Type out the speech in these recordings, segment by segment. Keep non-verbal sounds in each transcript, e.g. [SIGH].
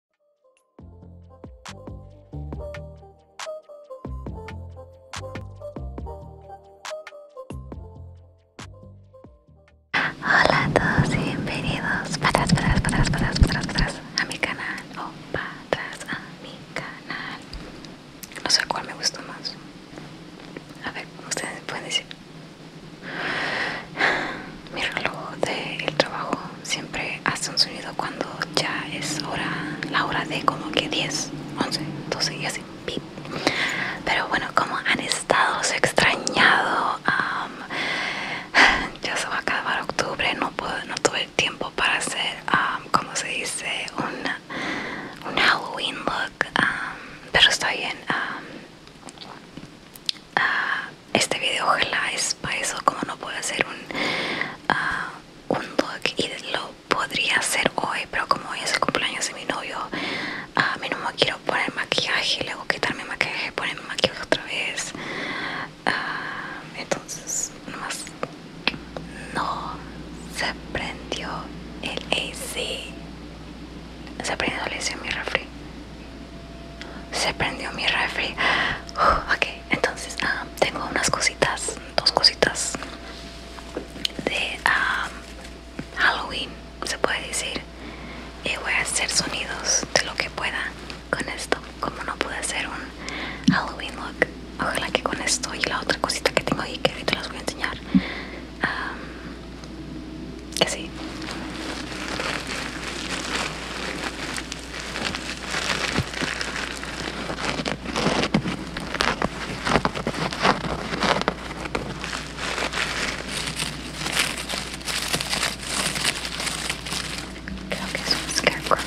Hola a todos y bienvenidos para atrás, para atrás, para atrás, para atrás para atrás, a mi canal o para atrás a mi canal. No sé cuál me gustó más. A ver, ustedes pueden decir. Mi reloj del trabajo siempre hace un sonido cuando ya es hora, la hora de como que 10, 11, 12 y así. Pero bueno, como han estado, se extrañado. [SIGHS] ya se va a acabar octubre, no, puedo, no tuve tiempo para hacer, como se dice, un, Halloween look. pero está bien. Ah, este video ojalá es para eso como no puedo hacer un, ah, un look y lo podría hacer hoy pero como hoy es el cumpleaños de mi novio ah, a mí no me quiero poner maquillaje luego quitarme maquillaje ponerme maquillaje otra vez entonces no se prendió el AC se prendió, le mi refri. Se prendió mi refri. ok, entonces ah, tengo unas cositas, dos cositas de ah, Halloween, se puede decir. Y voy a hacer sonidos de lo que pueda con esto. Como no pude hacer un Halloween look, ojalá que con esto y la otra cosita que tengo ahí que ahorita las voy a enseñar um, que sí. Creo que es un scarecrow.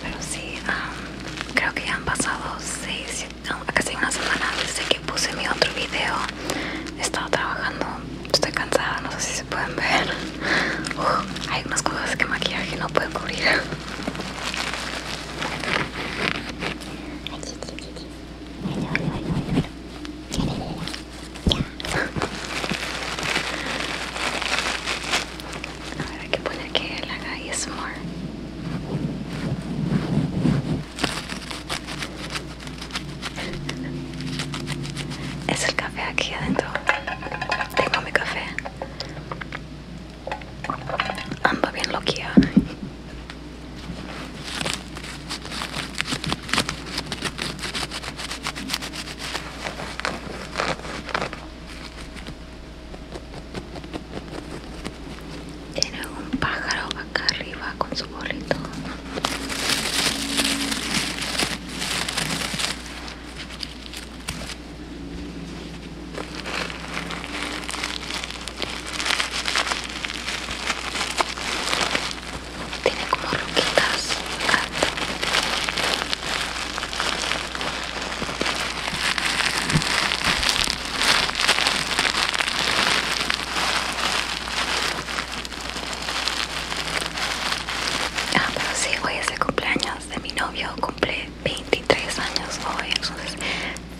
Pero sí, um, creo que ya han pasado 6-7 casi una semana desde que puse mi otro video he estado trabajando estoy cansada no sé si se pueden ver hay unas cosas que maquillaje no puede cubrir a ver que poner que la haga es more es el café aquí adentro. Tengo mi café. anda bien loquía. Tiene un pájaro acá arriba con su bolito Tiene como roquitas. Ah, pero sí, hoy es el cumpleaños de mi novio, cumple 23 años hoy, entonces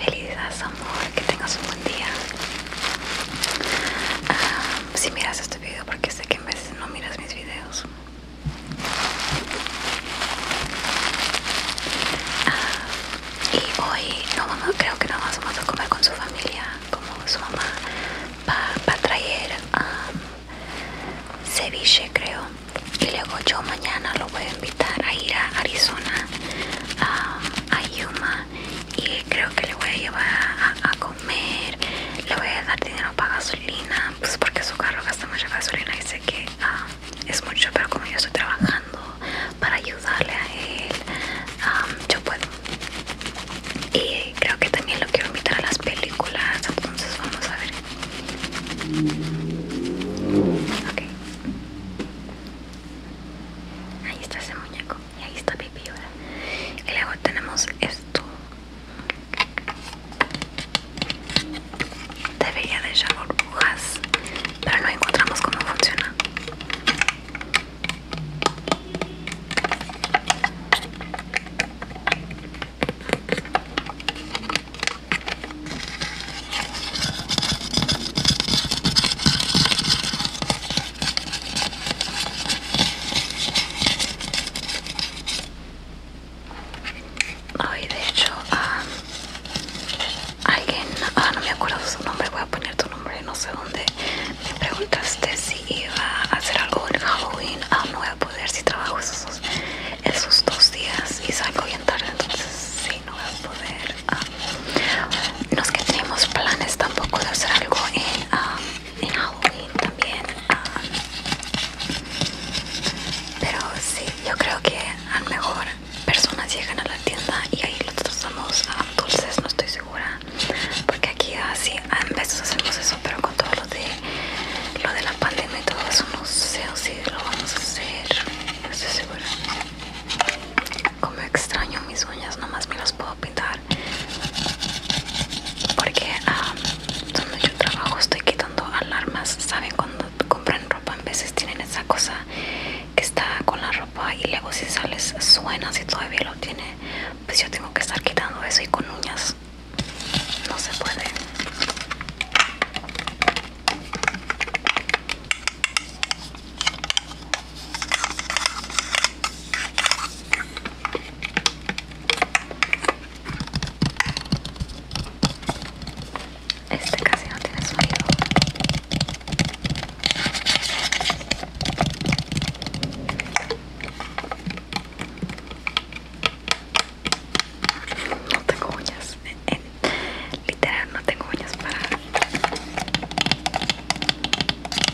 feliz amor, que tengas un buen día. Ah, si miras este video, porque sé que en veces no miras mis videos. Ah, y hoy creo que no vamos a comer con su familia, como su mamá va, traer um, ceviche creo. Y luego yo mañana lo voy a invitar a ir a Arizona, um, a Yuma. Y creo que le voy a llevar a, comer, le voy a dar dinero para gasolina, pues porque su carro gasta mucha gasolina que ah, es mucho, pero como yo estoy trabajando para ayudarle a él, ah, yo puedo. Y creo que también lo quiero invitar a las películas, entonces vamos a ver. ok Ahí está ese muñeco y ahí está Pipi ahora. Y luego tenemos esto Debería de echar burbujas, pero no encontramos cómo funciona. Ay, de hecho, alguien, ah, no me acuerdo su nombre, voy a poner tu nombre, no sé dónde. Me preguntaste si iba a hacer algo en Halloween. Ah, no voy a poder si trabajo esos, esos dos días y salgo bien tarde, entonces sí, no voy a poder. no es que tenemos planes tampoco de hacer algo en en Halloween también. pero sí, yo creo que a lo mejor personas llegan a la tienda y ahí los trazamos a dulces, no estoy segura. Porque aquí así ah, a veces hacemos eso, pero con todo lo de, lo de la pandemia y todo eso, no sé si lo vamos a hacer. No estoy segura. Como extraño mis uñas, nomás me las puedo pintar porque cuando yo trabajo estoy quitando alarmas saben cuando compran ropa en veces tienen esa cosa que está con la ropa y luego si sales suena si todavía lo tiene pues yo tengo que estar quitando eso y con uñas no se puede este casi no tiene sonido. No tengo uñas, literal no tengo uñas para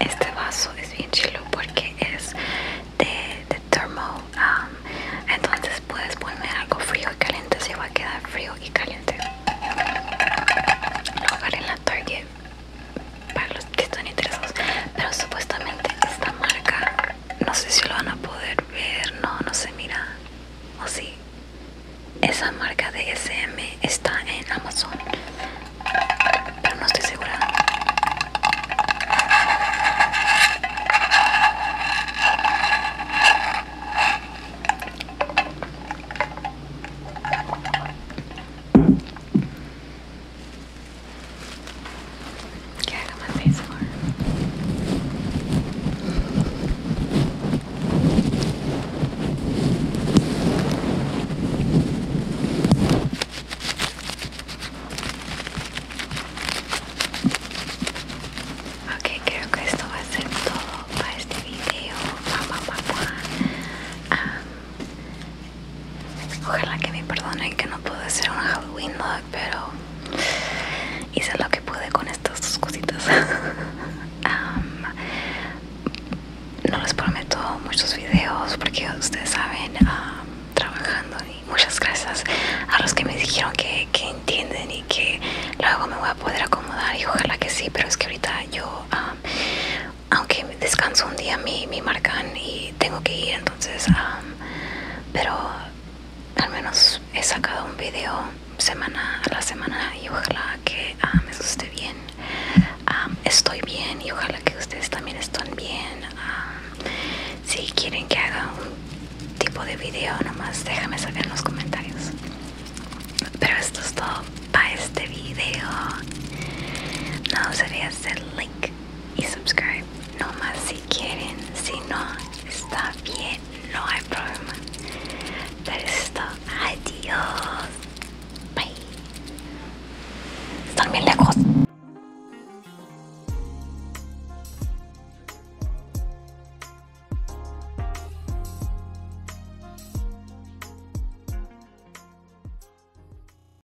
Este vaso es bien chilo porque es de, de termo, um, entonces puedes poner algo frío y caliente, se va a quedar frío y caliente. Lo poner en la Target para los que están interesados, pero supuestamente esta marca, no sé si lo van a poder ver, no, no sé, mira o oh, sí esa marca de SM está en Amazon pero no estoy segura que haga más por? Ok, creo que esto va a ser todo para este video. ojalá que me perdonen que no pude hacer un Halloween look, pero hice lo que pude con estas dos cositas [LAUGHS] no les prometo muchos videos porque ustedes saben trabajando y muchas gracias a los que me dijeron que, entienden y que luego me voy a poder acomodar y ojalá que sí pero es que ahorita yo aunque descanso un día me, marcan y tengo que ir entonces pero al menos he sacado un video semana a la semana y ojalá que ah, me guste bien. Ah, estoy bien y ojalá que ustedes también estén bien. Ah, si quieren que haga un tipo de video, nomás déjame saber en los comentarios. Pero esto es todo para este video. No os olvidéis link. link y subscribe. No más si quieren, si no, está bien, no hay problema. Pero esto, adiós. Bye. Están bien lejos.